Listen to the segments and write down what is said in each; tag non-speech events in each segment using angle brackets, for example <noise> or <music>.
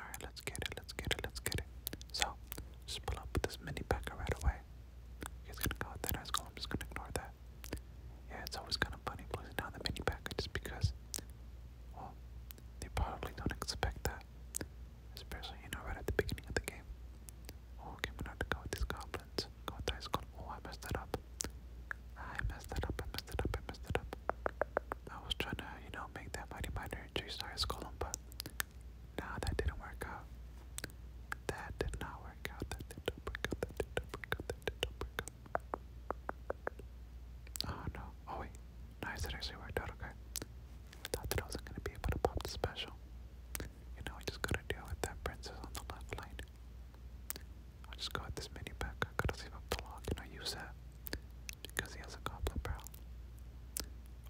Alright, let's get it, let's get it, let's get it. So, just pull up this mini packer right away. He's gonna call it that ice cold, I'm just gonna ignore that. Yeah, it's always kind of funny pulling down the mini packer just because, well, they probably don't expect that. Especially, you know, right at the beginning of the game. Oh, okay, we're not to go with these goblins. Go with ice cold. Oh, I messed that up. I messed that up, I messed that up, I messed that up. I was trying to, you know, make that money, miner and chased our Golem, but nah, that didn't work out. That did not work out. That did not work out. That did not work out. Oh no. Oh wait. Nice, it actually worked out okay. I thought that I wasn't gonna be able to pop the special. You know, I just gotta deal with that princess on the left lane. i just go this mini pack. I gotta save up the log and I use that because he has a goblin barrel.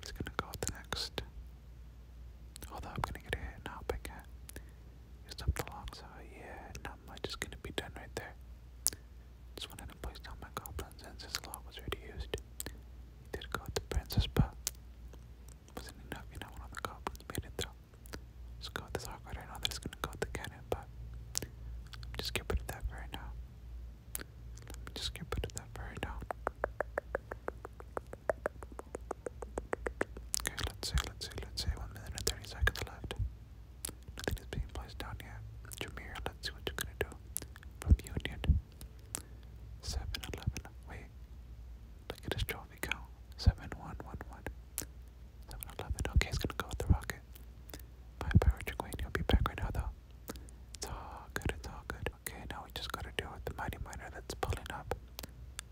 he's gonna go with the next. Although I'm gonna get a hit now, big cat. up the long, yeah, not much is gonna be done right there. Just wanted to place down my goblins since this log was already used. He did go with the princess, but wasn't enough, you know, one the goblins made it though. Just go with this awkward, I know that it's gonna go with the cannon, but I'm just keeping that for right now. Let me just get put that very down. Okay, let's see, let's see, let's see. One minute and thirty seconds left. Nothing is being placed down yet. Jameer, let's see what you're gonna do. From Union. 7 Wait. Look at his trophy count. 7111. 7 Okay, it's gonna go with the rocket. Bye bye, Richard Queen. He'll be back right now though. It's all good, it's all good. Okay, now we just gotta deal with the mighty miner that's pulling up.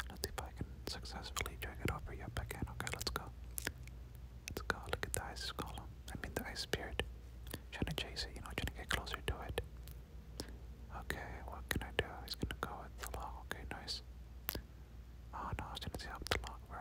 Let's see if I can successfully drag it over. Yep, I Okay, let's go. Let's go. Look at the ice golem. I mean, the ice spirit. Trying to chase it, you know, trying to get closer to it. Okay, what can I do? He's gonna go with the log. Okay, nice. Oh no, I the log, bro.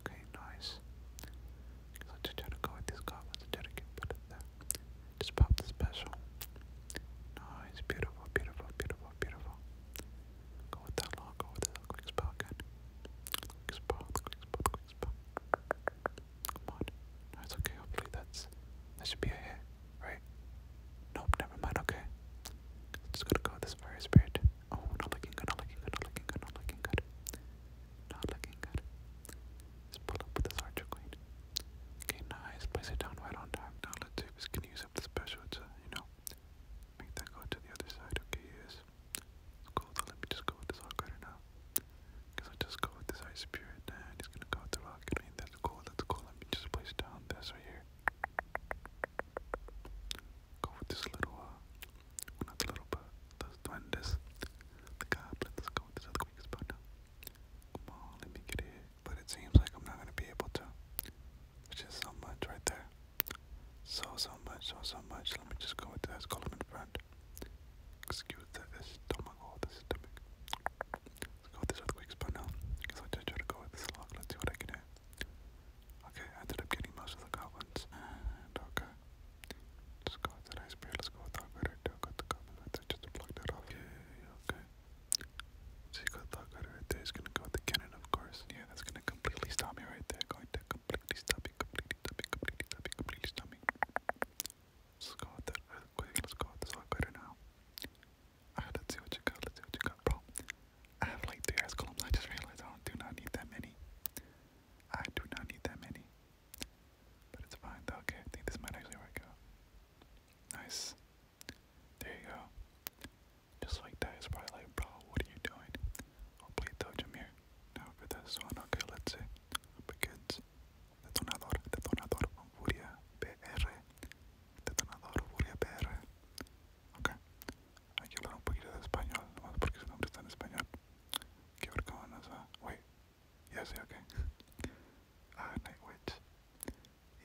Okay, nice. just try to go with this card, I try to get put it there. Just pop the special. Nice, beautiful, beautiful, beautiful, beautiful. Go with that long, go with that quick spell Quick spell, quick spell, Come on. Nice, okay, hopefully that's, that should be a hit, right? Nope, never mind, okay. just gonna go with this fire spirit. Oh, not looking good, not looking good, not looking good, not looking good. Not looking good. Let's pull up with this Archer Queen. Okay, nice. Place it down right on time. Now let's see if it's gonna use up the special to, uh, you know, make that go to the other side. Okay, yes. Let's go though. Let me just go with this Rock Rider now. Because I just go with this Ice Spirit and he's gonna go with the Rock Queen. That's cool, that's cool. Let me just place down this right here. Go with this little, uh, well, not the little, but those duendes. The goblin, let's go with this other quickest let me get it. But it seems like I'm not gonna be able to. Which is so much right there. So, so much, so, so much. Let me just go with this column in front. Excuse the estomago, the stomach. Let's go with this earthquake spot now. Because I just try to go with this lock. Let's see what I can do. Okay, I ended up getting most of the goblins. And okay. Let's go with that ice bear, let's go with Thugrider, too. Got the goblin right there, just block that off. Okay, okay. So you got Thugrider right there, he's gonna go with the cannon, of course. Yeah, that's gonna completely stop me right there. Going to completely stop me, completely stop me, completely stop me, Let's go with that let's go with this Thugrider now. let's see what you got, let's see what you got, bro. I have like three ice columns. I just realized I do not need that many. I do not need that many. But it's fine though. Okay, I think this might actually work out. Nice. There you go. Just like that, it's probably like, bro, what are you doing? Hopefully it told him here. Now for this one, okay, let's see. Begins. Detonador, detonador, furia PR. Detonador, furia PR. Okay. hay que hablar un poquito de español, nomás porque su nombre está en español. ¿Qué nos va, wait, ya sé, ok. <laughs> Ah, Nightwitch.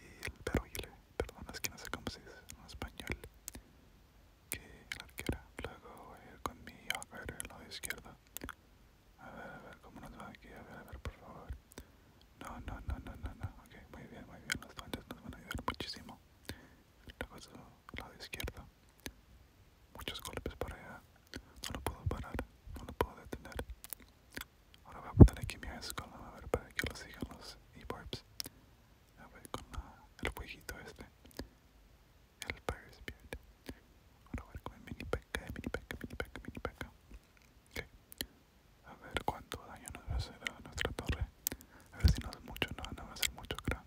Y el perrile, perdón, es que no sé cómo se dice en español. Que la arquera. Luego voy a ir con mi ver el lado izquierdo. A ver, a ver, cómo nos va aquí, a ver, a ver, por favor. No, no, no, no, no, no. Ok, muy bien, muy bien. Los duendes nos van a ayudar muchísimo el lado izquierdo. Muchos golpes para allá. No lo puedo parar, no lo puedo detener. Ahora voy a poner aquí mi ice a ver para que lo sigan los e-barbs. A ver con el jueguito este. El Fire Spirit. Ahora voy a ver con mini peca, mini peca, mini peca, mini peca. A ver cuánto daño nos va a hacer a nuestra torre. A ver si no es mucho, no, no va a ser mucho, creo.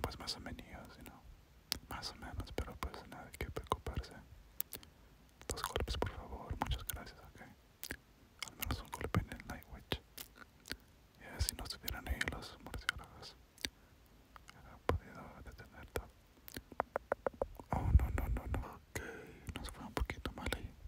Pues más o menos, si no. Más o menos, pero pues nada qué preocuparse. Dos golpes, por favor, muchas gracias, ok. Al menos un golpe en el Night a ver si no estuvieran ahí los murciélagos, podido Oh, no, no, no, no. nos fue un poquito mal ahí.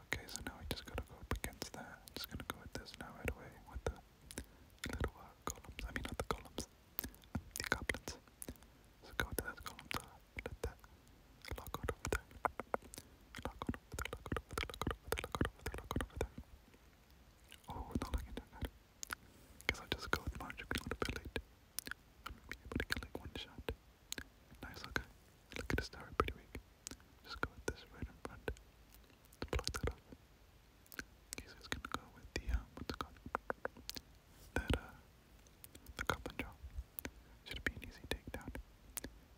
Okay, so now we just gotta go up against that. I'm just gonna go with this now right away with the little uh, columns. I mean, not the columns, the goblins. So go with that column to let that lock out over there. Lock out over there, lock out over there, lock out over there, lock out over there, Oh, not looking too good. Guess i just go with Marjorie a little bit late. I'm gonna be able to get like one shot. Nice, okay. Look at this tower, pretty weak. Just go with this right in front. block that off. Okay, it's gonna go with the um, what's it That uh, the goblin jaw. Should be an easy takedown.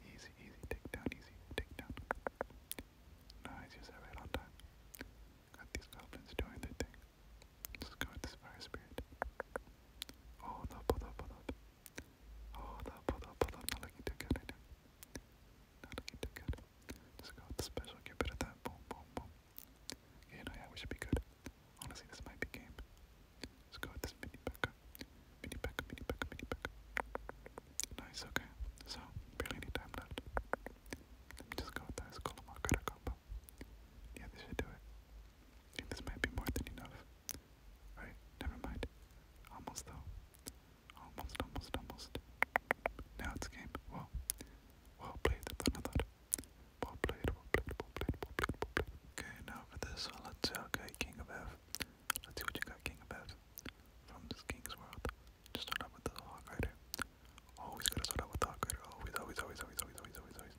Easy, easy takedown, easy takedown. Nice, use that right on time. Got these goblins doing their thing. Just go with this fire spirit. Hold up, hold up, hold up. Hold up, hold up, Not looking too good right not go with the special, get rid of Boom, boom, boom. Yeah, you yeah, we should be good. Honestly, this might be game. let go with this mini backup. Mini backup, mini backup, mini backup. Nice, okay. So, barely any time left. just go with this Colomar Cutter combo. Yeah, this should do it. think this might be more than enough. Alright, never mind. Almost though. Almost, almost, almost. Now it's game. Well, well played. another. Well played, well played, well played, well played, well played. Okay, now for this let's see. Okay, King of F. Let's see what you got, King of F. From this King's World. Just start out with the Hawk Rider. Always gotta start out with the Hawk Rider. Always, always, always, always, always, always, always, always.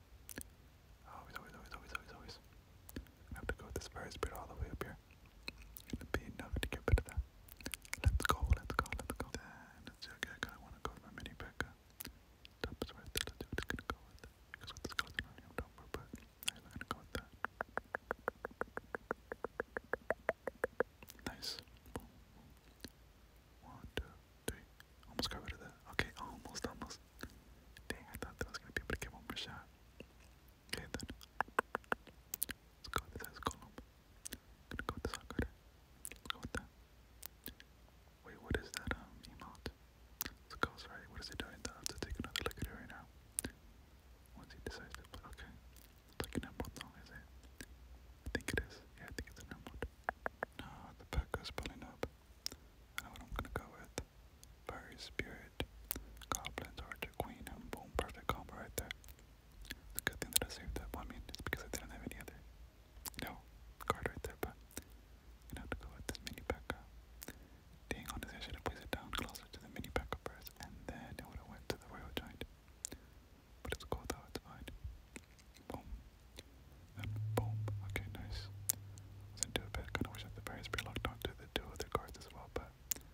Always, always, always, always, always, I have to go with this Fire Spirit all the way up here. It'd be enough to get rid of that. Let's go, let's go, let's go. Then, let's see, I kinda to go with my mini Becca. Top's right there, let's gonna go with. Because with the skeleton on here, I'm down for but I'm gonna go with that. Nice. One, two, three. Almost got rid of that. Okay, almost, almost. Dang, I thought that was gonna be able to get one Okay then. Let's go with this column. I'm gonna go with this algorithm. Let's go Wait, what is that um emote? Let's go, sorry, what is it doing? I have to take another look it right now. Once he decides to okay. It's like an emerald is it? I think it is. Yeah, I think it's an emerald. No, the back goes pulling up. I know what I'm gonna go with. Fiery Spirit, Goblins, Archer Queen, and Boom. Perfect combo right there. It's a good thing that I saved that. Well, I because I didn't have any other, you card right there, but you have to go with this mini P.E.K.K.A. Dang, honestly, I should have placed it down closer to the mini P.E.K.K.A first, and then it would have went to the Royal Giant. But it's cool though, it's fine. Boom. Then boom. Okay, nice. Wasn't too bad. Kinda wish that the Fairy Spirit locked onto the two other cards as well, but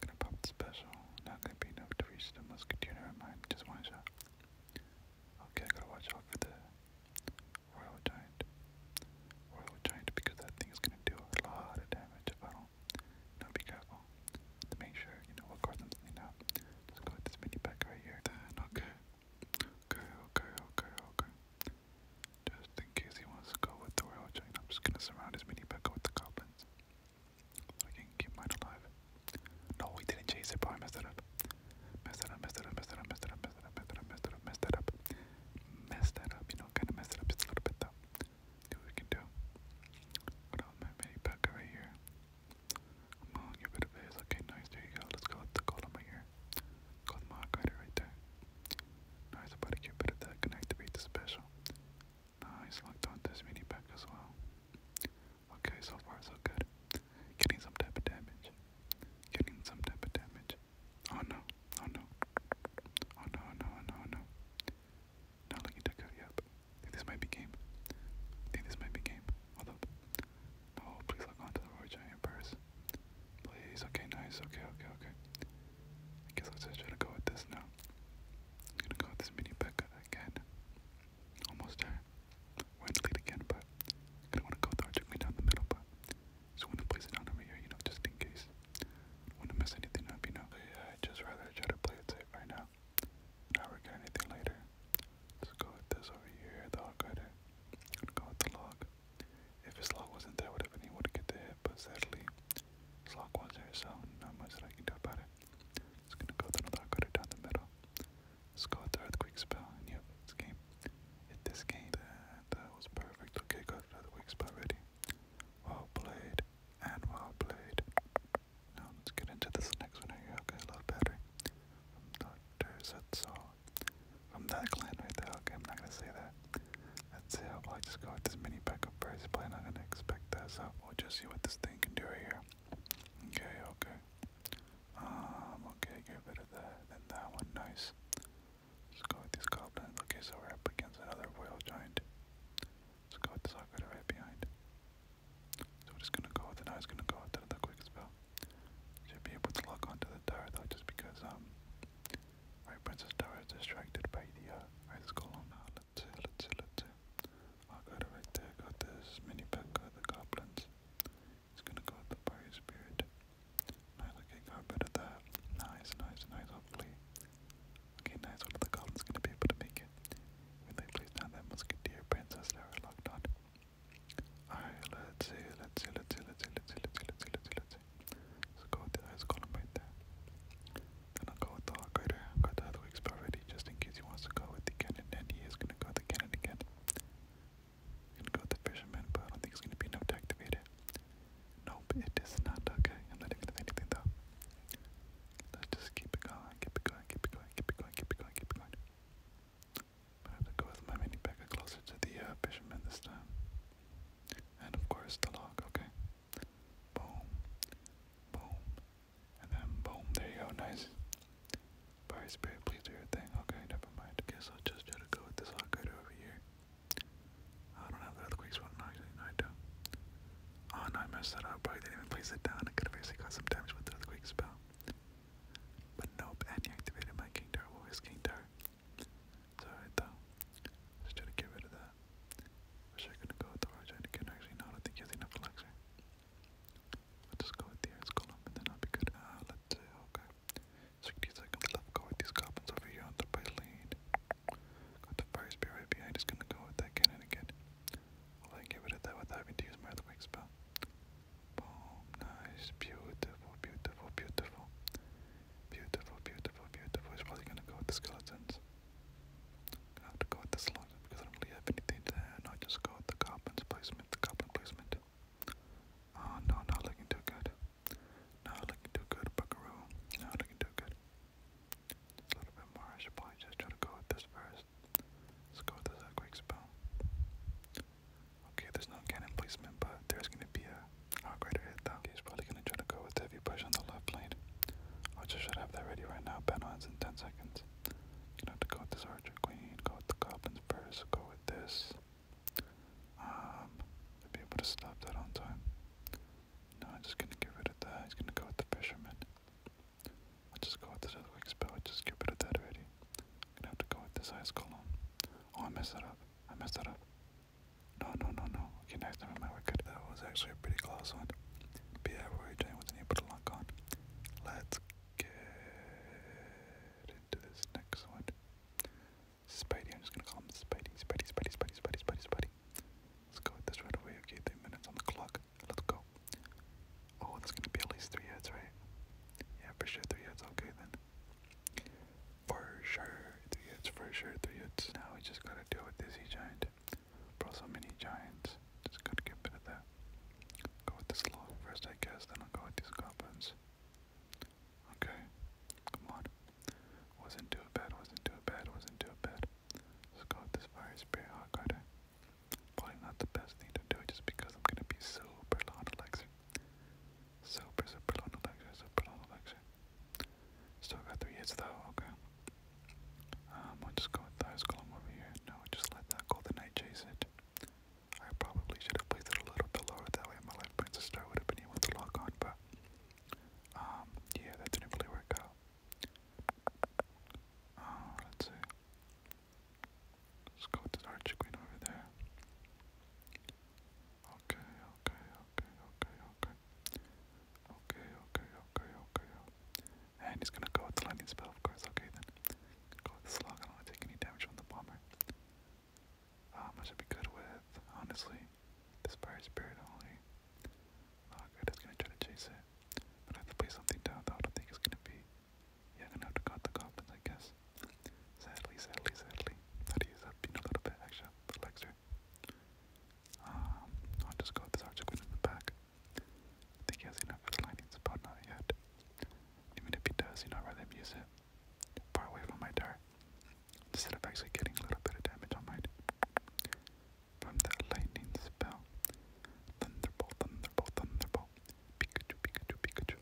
Gonna pop the special. Not gonna be enough to reach the musketeer. Never mind, just one shot. Okay, I gotta watch out for the royal giant. Royal giant because that thing is gonna do a lot of damage if I don't. No, be careful. To make sure you know what cards I'm sending out. Just go with this mini pack right here. Then okay. Okay, okay, okay, okay. Just in case he wants to go with the royal giant, I'm just gonna surround his mini Pekka with the goblins. So I can keep mine alive. No, we didn't chase it, but messed it up. Messed it up, messed it up, messed it up, messed it up, messed it up, messed it up, messed it up, you know, kinda messed it up just a little what we can do. What about my mini Pekka right here? Come on, get rid of Okay, nice, there you go. Let's go with the golem right here. Go with the right there. Nice about a cute bit of that can activate the special. Nice, locked on this mini pack as well. Okay, so far so good. Getting some type of damage. Getting some type of damage. Oh no, oh no. Oh no, oh no, oh no, oh no. Not looking too good, yep. I think this might be game. I think this might be game. Hold up. Oh, please lock on to the Roy Giant purse. Please, okay, nice, okay, okay, okay. I guess I'll just try to go with this now. I'm gonna go with this mini Becca again. Almost there. We're in the lead again, but I don't wanna go with Archer Queen down the middle, but just wanna place it down over here, you know, just in case. I wanna mess anything up, you know. Yeah, I'd just rather try to play it safe right now. Not regret anything later. Let's go with this over here, the hog rider. I'm gonna go with the log. If Slock wasn't there, would have been get the hit, but sadly, Slock was there, so not much that I can do about it. Just gonna go through another cutter down the middle. let the earthquake spell, yep, this game. Hit this game. That, that was perfect. Okay, got another quick spell ready. Well played, and well played. Now let's get into this next one here. Okay, love battery. From Dr. Zetsu. I'm that clan right there. Okay, I'm not gonna say that. let That's it. I'll probably just go with this mini backup price. am not gonna expect that, so we'll just see what this thing can do right here. Okay, okay. Um, okay, get rid of that. Then that one, nice. let go with these goblins. Okay, so we're up against another royal giant. Let's go with this Aquila right behind. So we're just gonna go with it. I was gonna go with another quick spell. Should be able to lock onto the tower though, just because um Right, Princess Tower is distracted by the uh, ice golem now. Let's see, let's let's I oh, got it right there. Got this mini pack the goblins. It's gonna go with the fire spirit. Nice, okay, got rid that. Nice, nice, nice, hopefully. Okay, nice, one the goblins gonna be able to make it. Will they please now that musketeer princess tower locked on? Alright, let's see, let's see, let's see, let's see, let's see, let's see, let's see, let's see, so go with the highest column right there. Then I'll go with the Hawkrider. I've got the other weeks already just in case he wants to go with the cannon. And he is going to go with the cannon again. He's going to go with the fisherman, but I don't think it's going to be enough to activate it. Nope, it is not. Okay, I'm not even doing anything though. Let's just keep it going, keep it going, keep it going, keep it going, keep it going, keep it going. But I have to go with my mini packer closer to the uh, fisherman this time. And of course the log, okay. Boom, boom, and then boom, there you go, nice. Fire spirit, please do your thing. Okay, never mind. Guess I'll just try to go with this Hawkrider over here. I don't have the earthquakes one, no, no, I do. Oh no, I messed that up. Probably didn't even place it down. I could have basically got some damage with the earthquakes spell. But nope, and activated my King Tower. What was King Tower? alright though. Just try to get rid of that. Wish I could go with the Origin again. Actually, no, I don't think he has enough elixir. I'll just go with the Ice Golem and then I'll be good. Uh, let's see, okay. 60 seconds left. Go with these goblins over here on the right lane. Got the Fire Spear right behind. Just gonna go with that cannon again. I can get rid of that without having use my other spell. Boom, nice, beautiful, beautiful, beautiful. Beautiful, beautiful, beautiful. He's probably gonna go with the skeletons. Gonna have to go with the slugs because I don't really have anything to add. just go with the goblins placement, the goblin placement. Oh no, not looking too good. Not looking too good, buckaroo. Not looking too good. Just a little bit more. I should probably just try to go with this first. Let's go with this quick spell. Okay, there's no cannon placement, but there's gonna be a hawk rider hit though. Okay, he's probably gonna try to go with heavy push on the left lane. Archer should have that ready right now. Banwan's in 10 seconds. You know, to go with this Archer Queen, go with the Goblins first, go with this. Um, to be able to stop that on time. No, I'm just gonna get rid of that. He's gonna go with the Fisherman. I'll just go with this earthquake spell. Just get rid of that already. I'm gonna have to go with this ice column. Oh, I messed that up. I messed that up. No, no, no, no. Okay, nice. Never mind. We're That was actually a pretty close one. But yeah, we're doing with an able to lock on. Let's get into this next one. Spidey. I'm just gonna call him Spidey. Spidey. Spidey. Spidey. Spidey. Spidey. Spidey. Let's go with this right away. Okay, three minutes on the clock. Let's go. Oh, that's gonna be at least three heads, right? Yeah, for sure. Three heads. Okay then. For sure, three for sure, three hits. Now we just gotta deal with this giant Bro, so many Giants. Just gotta get rid of that. Go with this log first, I guess, then I'll go with these goblins. Okay, come on. Wasn't too bad, wasn't too bad, wasn't too bad. Let's go with this fire spirit hot oh, Probably not the best thing to do just because I'm gonna be super loud, Super, super long lecture, super long lecture. Still got three hits though, okay. Um, I'll just go with the ice column over here. No, just let that go the chase it. I probably should have placed it a little bit lower, that way my life points to would have been able to lock on, but um, yeah, that didn't really work out. Uh, let's see. Let's go to the Archer Queen over there. Okay, okay, okay, okay, okay. Okay, okay, okay, okay. And he's gonna go with the lightning spell, of course. Okay, Go with the slug. I don't want to take any damage from the bomber. Um, I should be good with, honestly, this fire spirit only. Not good. It's gonna try to chase it. But I have to play something down, I don't think it's gonna be. Yeah, gonna have to cut the goblins, I guess. Sadly, sadly, sadly. That is up in a little bit extra for Lexer. Um, I'll just go with this Articuno in back. think he has enough for lightning spot, not yet. Even if he does, you know, I'd rather use it far away from my dart. Instead of actually getting a little bit of damage on mine. From that lightning spell. Thunderbolt, thunderbolt, thunderbolt. Pikachu, Pikachu, Pikachu.